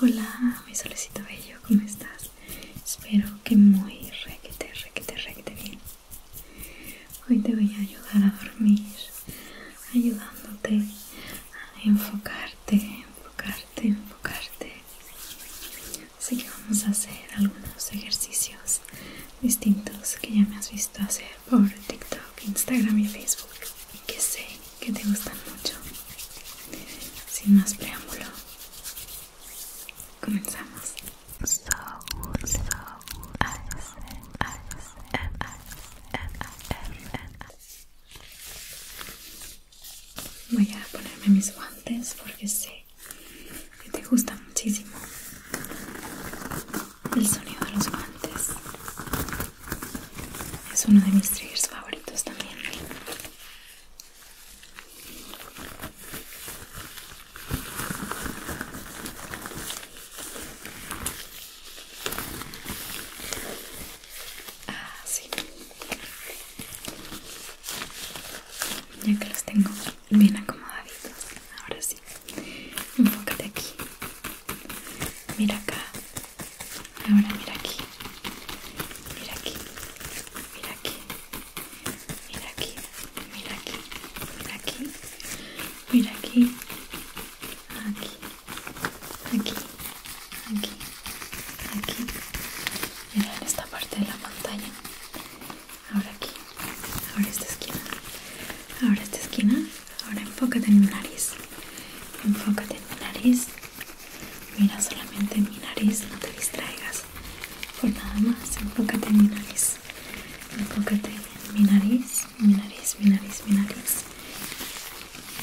Hola, mi solecito bello, ¿cómo estás? Espero que muy re que te bien. Hoy te voy a ayudar a dormir, ayudándote a enfocarte, enfocarte, enfocarte. Así que vamos a hacer algunos ejercicios distintos que ya me has visto hacer por TikTok, Instagram y Facebook, que sé que te gustan mucho. Sin más preámbulo, comenzamos. Voy a ponerme mis guantes porque sé que te gusta muchísimo el sonido de los guantes es uno de mis triggers favoritos también. Ah, sí. Ya que los tengo bien acomodaditos. Ahora sí. Un Enfócate aquí. Mira acá. Ahora mira aquí, mira aquí, mira aquí, mira aquí, mira aquí, mira aquí, mira aquí, aquí, aquí, aquí, aquí, mira en esta parte de la montaña, ahora aquí, ahora esta esquina, ahora esta esquina, ahora enfócate en mi nariz, Enfócate en mi nariz. Mira solamente mi nariz, no te distraigas por nada más. Enfócate en mi nariz. Enfócate en mi nariz, mi nariz, mi nariz, mi nariz.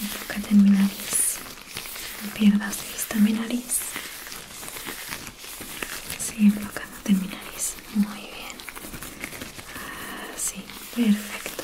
Enfócate en mi nariz. pierdas vista mi nariz. Sigue enfócate en mi nariz. Muy bien. Así, ah, perfecto.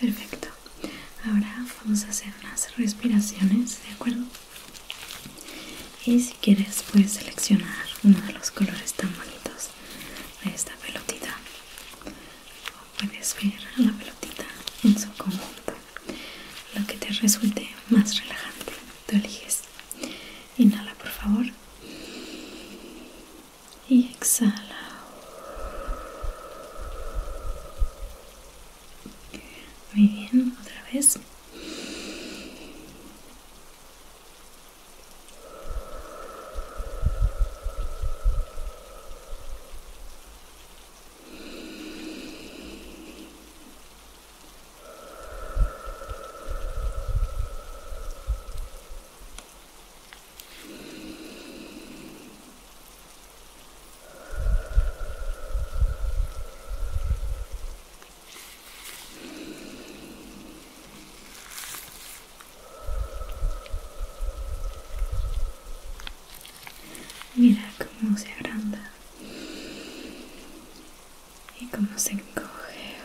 Perfecto. Ahora vamos a hacer unas respiraciones, ¿de acuerdo? Y si quieres puedes seleccionar uno de los colores tan bonitos de esta pelotita. O puedes ver la pelotita en su conjunto. Lo que te resulte más relajante, tú eliges. Inhala por favor y exhala. Muy bien, otra vez. Mira cómo se agranda y cómo se encoge.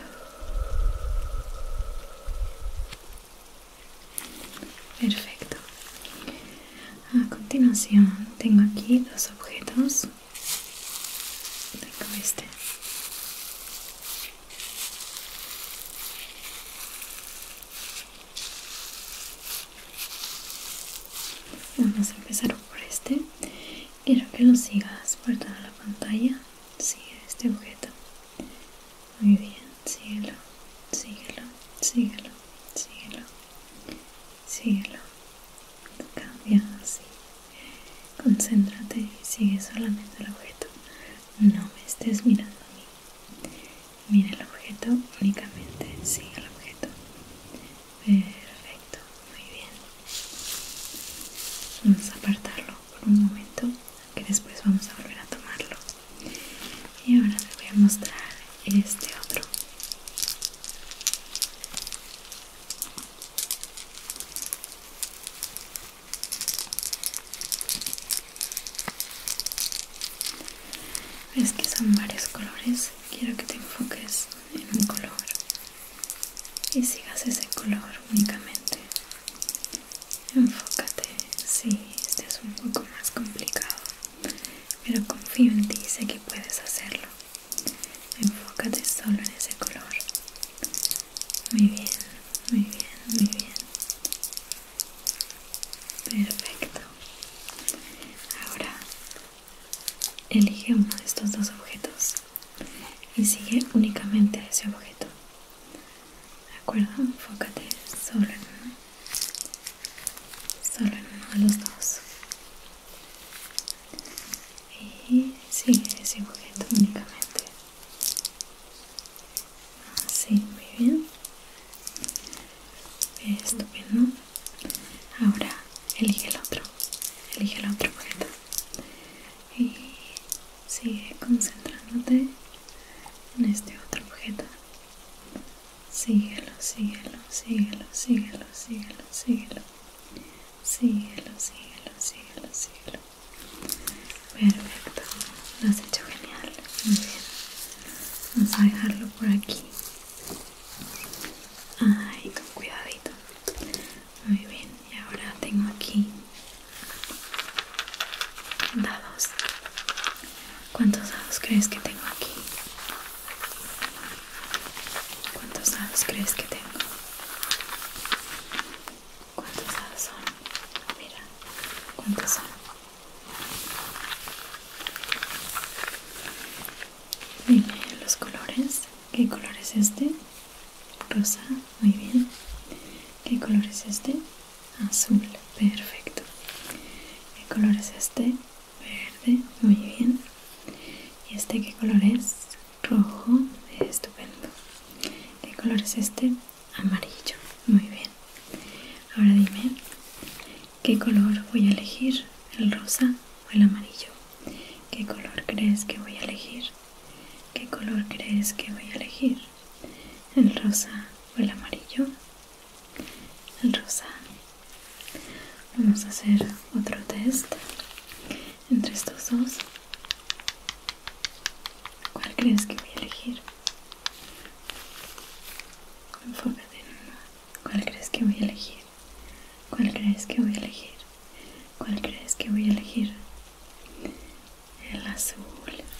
Perfecto. A continuación tengo aquí dos objetos. Tengo este. Vamos a empezar por este. Quiero que lo sigas por toda la pantalla. Sigue este objeto. Muy bien, síguelo, síguelo, síguelo, síguelo, síguelo. Cambia así. Concéntrate y sigue solamente el objeto. No me estés mirando a mí. Mira el objeto únicamente, sigue el objeto. Perfecto, muy bien. Vamos a apartarlo por un momento que después vamos a volver a tomarlo y ahora te voy a mostrar este otro ves que son varios colores quiero que te enfoques en un color y sigas ese color únicamente Enfócate, sí, este es un poco más complicado, pero confío en ti, sé que puedes hacerlo. Enfócate solo en ese color. Muy bien, muy bien, muy bien. Perfecto. Ahora elige uno de estos dos objetos y sigue únicamente ese objeto. ¿De acuerdo? Enfócate solo en uno. Solo en uno de los dos. Y sigue ese objeto únicamente. Así, muy bien. Estupendo. Ahora elige el otro. Elige el otro objeto y sigue concentrándote en este otro objeto. Síguelo, síguelo, síguelo, síguelo, síguelo, síguelo. Síguelo, síguelo, síguelo, síguelo. Perfecto, lo has hecho genial. Muy bien. Vamos a dejarlo por aquí. Ay, con cuidadito. Muy bien, y ahora tengo aquí dados. ¿Cuántos dados crees que tengo aquí? ¿Cuántos dados crees que tengo? ¿Cuántos dados son? Mira, ¿cuántos son? y los colores. ¿Qué color es este? Rosa, muy bien. ¿Qué color es este? Azul, perfecto. ¿Qué color es este? Verde, muy bien. ¿Y este qué color es? Rojo, estupendo. ¿Qué color es este? Amarillo, muy bien. Ahora dime, ¿qué color voy a elegir? ¿El rosa o el amarillo? ¿Qué color crees que voy a elegir? ¿Qué color crees que voy a elegir? ¿El rosa o el amarillo? El rosa. Vamos a hacer otro test entre estos dos. ¿Cuál crees que voy a elegir? Enfócate en uno. ¿Cuál crees que voy a elegir? ¿Cuál crees que voy a elegir? ¿Cuál crees que voy a elegir? El azul.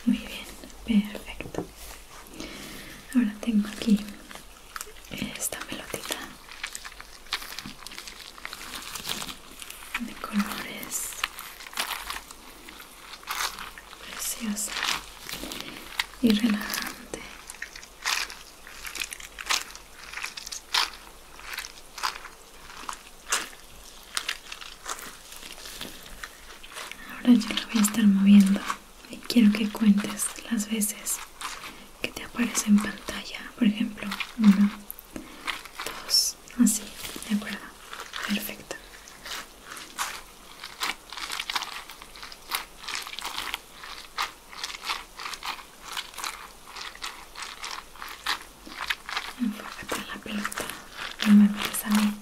Muy bien, perfecto. Ahora tengo aquí esta pelotita de colores. Preciosa y relajante. Ahora yo lo voy a estar moviendo y quiero que cuentes las veces que te aparece en pantalla. Por ejemplo, uno, dos, así, ¿de acuerdo? Perfecto. Enfócate en la pelota, no me mires a mí.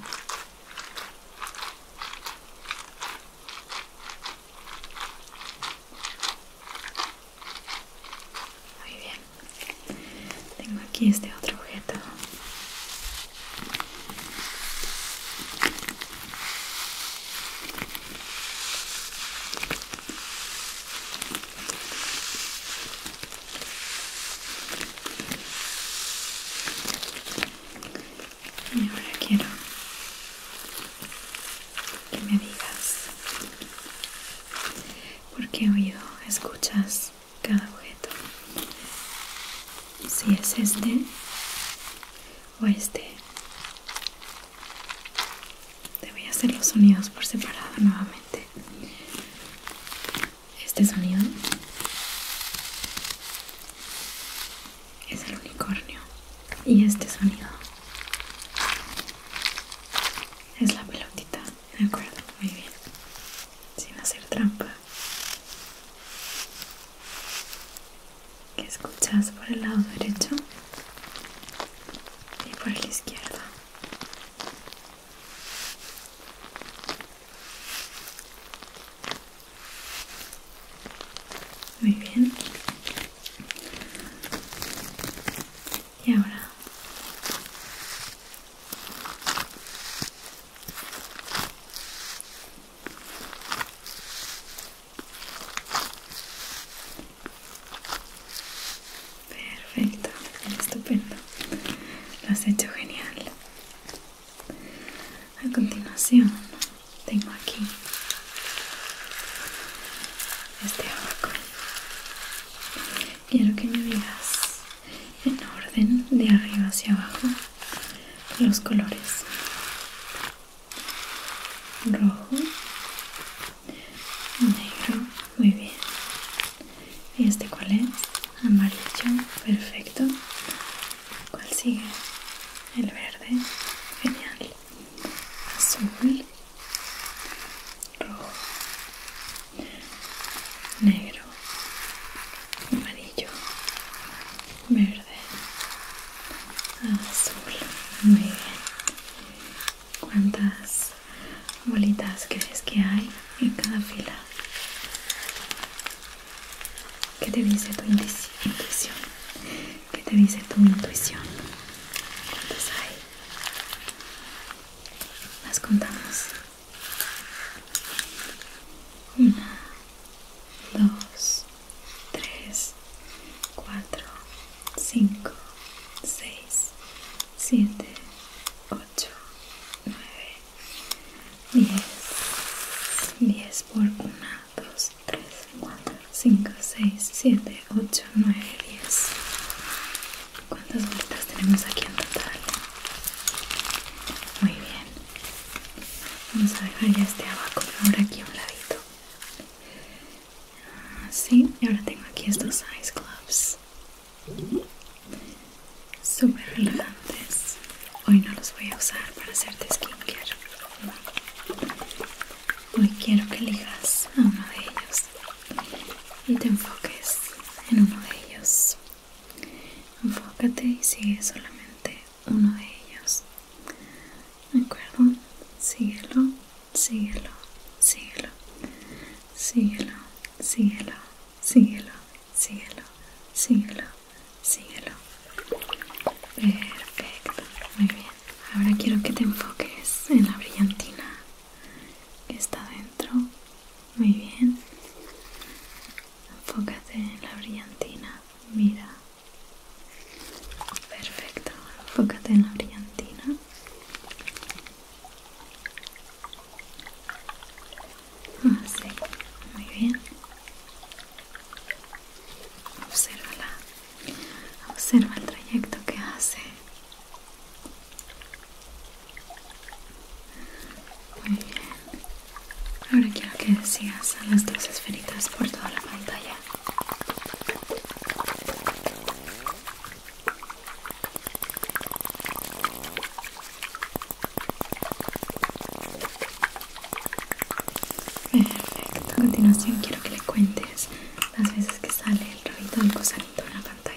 Muy bien, tengo aquí este otro objeto. Y ahora quiero que me digas por qué oído escuchas cada objeto. Si es este o este. Te voy a hacer los sonidos por separado nuevamente. Este sonido es el unicornio y este sonido es la pelotita, de acuerdo, muy bien, sin hacer trampa. ¿Qué escuchas por el lado derecho? y por la izquierda muy bien y ahora Perfecto, estupendo. Lo has hecho genial. A continuación, tengo aquí este abaco. Quiero que me digas en orden de arriba hacia abajo los colores rojo, negro, muy bien. ¿Y este cuál es? Amarillo, perfecto. ¿Cuál sigue? El verde, genial. Azul, rojo, negro, amarillo, verde, azul, muy bien cuántas bolitas crees que hay en cada fila qué te dice tu intuición qué te dice tu intuición cuántas hay las contamos una dos 3, 4, 5, 6, 7, 8, 9, 10. 10 por 1, 2, 3, 4, 5, 6, 7, 8, 9, 10. ¿Cuántas vueltas tenemos aquí en total? Muy bien. Vamos a dejar ya este abaco ahora aquí a un ladito. Ah, sí, y ahora tengo aquí estos ice gloves súper elegantes Hoy no los voy a usar para hacerte skincare. Hoy quiero que elijas a uno de ellos y te enfoques en uno de ellos. Enfócate y sigue solamente uno de ellos. ¿De acuerdo? Síguelo, síguelo, síguelo, síguelo, síguelo, síguelo, síguelo, síguelo, síguelo. Perfecto, muy bien. Ahora quiero que te enfoques en la brillantina que está dentro. Muy bien. Enfócate en la brillantina. Mira, Perfecto, enfócate en la brillantina. Así, ah, muy bien. Obsérvala. Observa el trayecto que hace. Muy bien. Ahora quiero que sigas a las dos esferitas por toda la pantalla. Perfecto, a continuación quiero que le cuentes las veces que sale el rabito del gusanito en la pantalla.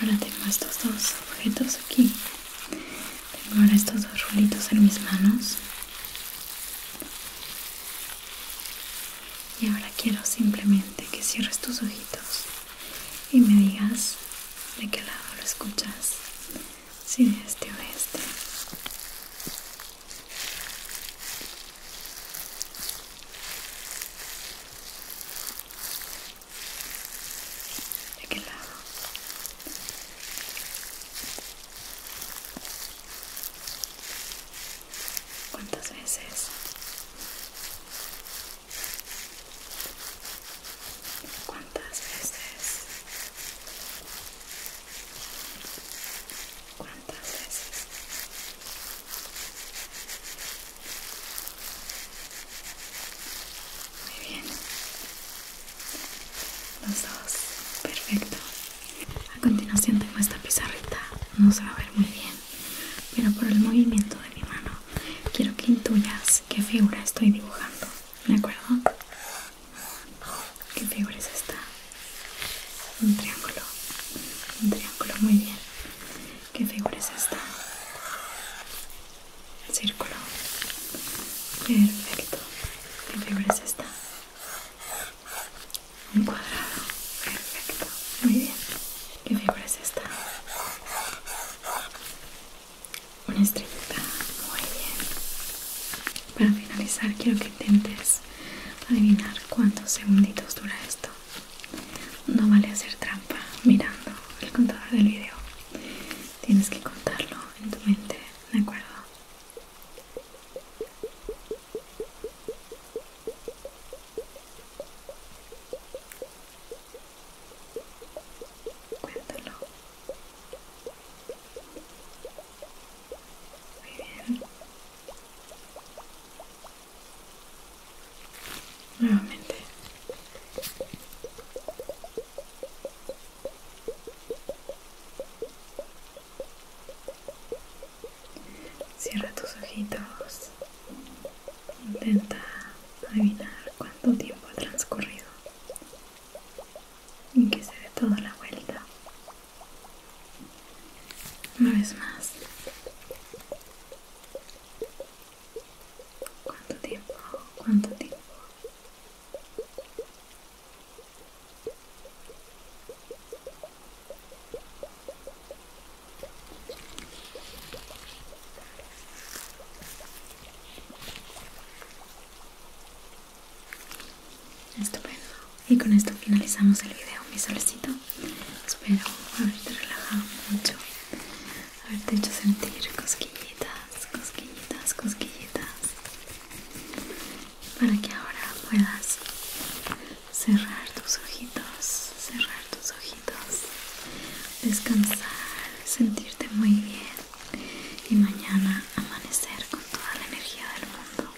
Ahora tengo estos dos objetos aquí. Tengo ahora estos dos rulitos en mis manos. Y ahora quiero simplemente que cierres tus ojitos y me digas de qué lado lo escuchas. Si de este o de este de qué lado cuántas veces cuántas veces cuántas veces muy bien. Los dos. Perfecto. A continuación tengo esta pizarrita. No se va a ver muy bien, pero por el movimiento de mi mano quiero que intuyas qué figura estoy dibujando. ¿De acuerdo? ¿Qué figura es esta? Un triángulo. Un triángulo, muy bien. ¿Qué figura es esta? Círculo. Perfecto. ¿Qué figura es esta? Un cuadrado. Perfecto. Muy bien. ¿Qué figura es esta? Una estrellita. Muy bien. Para finalizar quiero que intentes adivinar cuántos segunditos dura esto. No vale hacer trampa mirando el contador del video. Tienes que contarlo en tu mente, ¿de acuerdo? Cuéntalo. Muy bien nuevamente cierra tus ojitos intenta adivinar cuánto tiempo ha transcurrido y que se dé toda la vuelta una vez más ¿Cuánto tiempo? ¿Cuánto tiempo? Estupendo. Y con esto finalizamos el video, mi solecito Espero haberte relajado mucho, haberte hecho sentir cosquillitas, cosquillitas, cosquillitas, para que ahora puedas cerrar tus ojitos, cerrar tus ojitos, descansar, sentirte muy bien y mañana amanecer con toda la energía del mundo.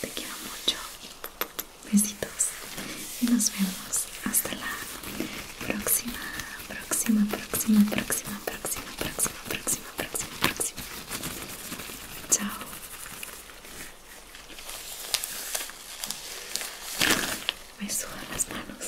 Te quiero mucho. Besitos y nos vemos hasta la próxima, próxima, próxima, próxima, próxima, próxima, próxima, próxima, próxima. Chao. Me suban las manos.